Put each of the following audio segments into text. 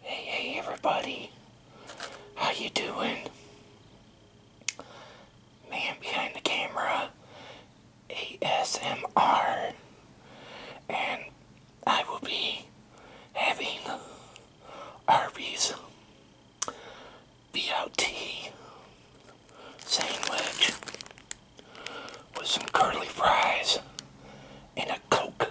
Hey, hey, everybody. How you doing? Man behind the camera, ASMR, and I will be having Arby's BLT sandwich with some curly fries and a Coke.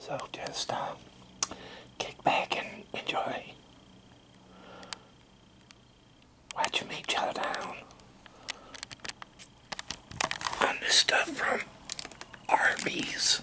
So just uh, kick back and enjoy watching me chow down on this stuff from Arby's.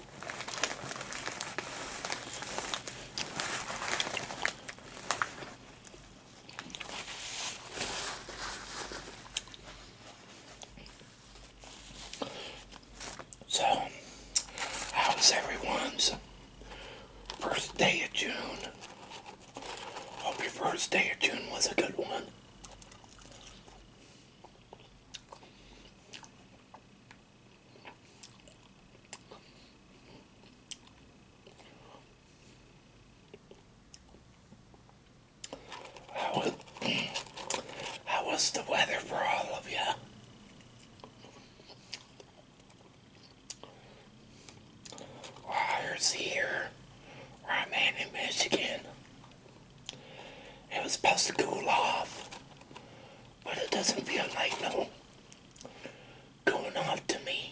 So, how was everyone's first day of June? Hope your first day of June was a good one. How was, the weather for all of you? Well, here I'm in Michigan. It was supposed to cool off, but it doesn't feel like it's going off to me.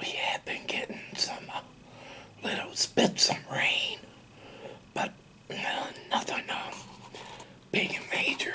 We have been getting some uh, little spits of rain, but nothing uh, big major.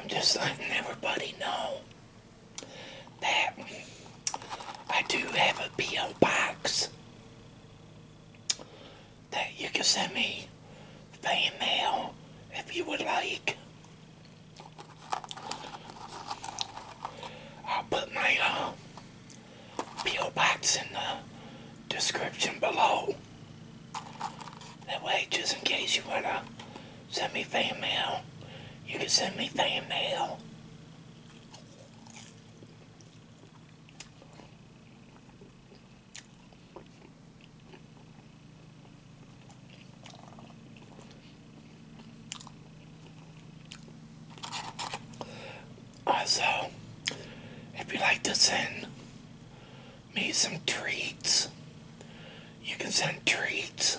I'm just letting everybody know that I do have a P.O. box that you can send me fan mail if you would like. I'll put my uh, P.O. box in the description below. That way, just in case you want to send me fan mail, you can send me fan mail. Also, if you'd like to send me some treats, you can send treats.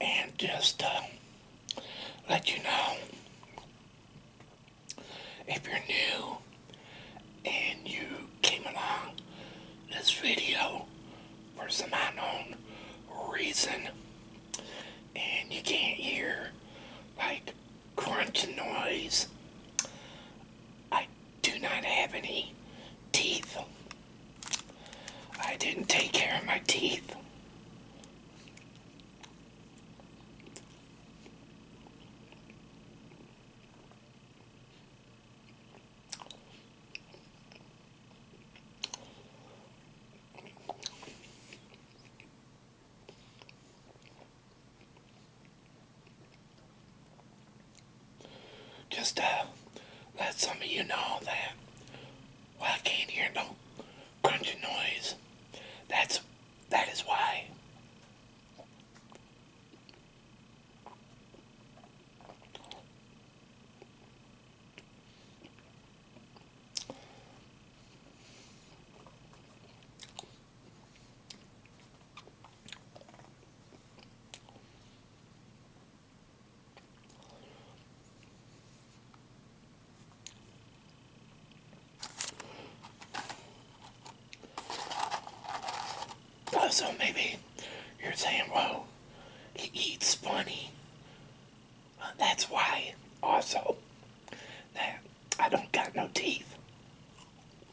And just uh, let you know if you're new and you came along this video for some unknown reason and you can't hear like crunch noise. I do not have any teeth. I didn't take care of my teeth. Just to uh, let some of you know that well, I can't hear no crunching noise. That's that is why. Oh, so maybe you're saying, whoa, he eats funny. That's why also that I don't got no teeth.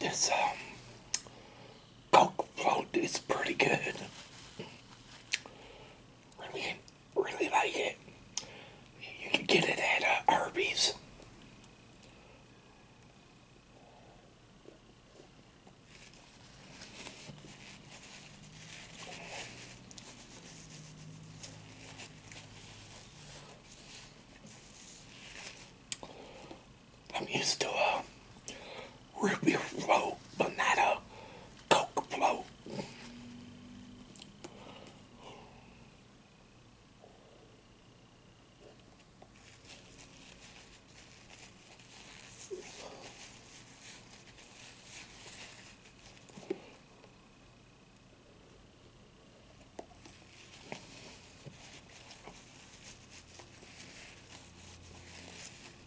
This um, Coke float is pretty good. Really, really like it. You can get it at uh, Arby's. I'm used to a ruby Road banana coke float.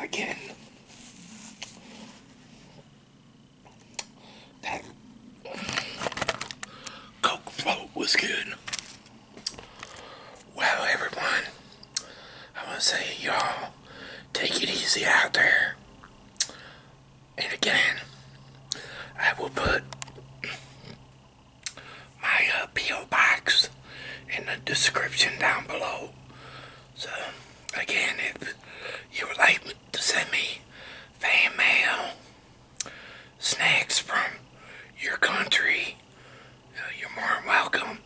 again, that Coke float was good. Well, everyone, I want to say, y'all, take it easy out there. And again, I will put my uh, P.O. box in the description down below. So again, if you would like to send me fan mail, snacks from your country, uh, you're more than welcome.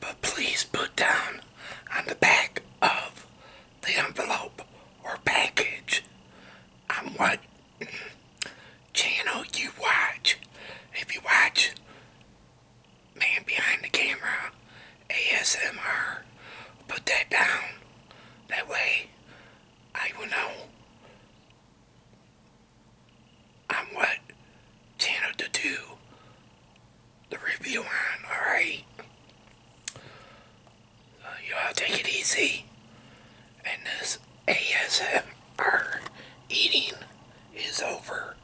But please put down on the back of the envelope or package I'm um, what channel you watch. If you watch man behind the camera ASMR. Put that down. That way I will know on what channel to do the review on, alright? So you all take it easy. And this ASMR eating is over.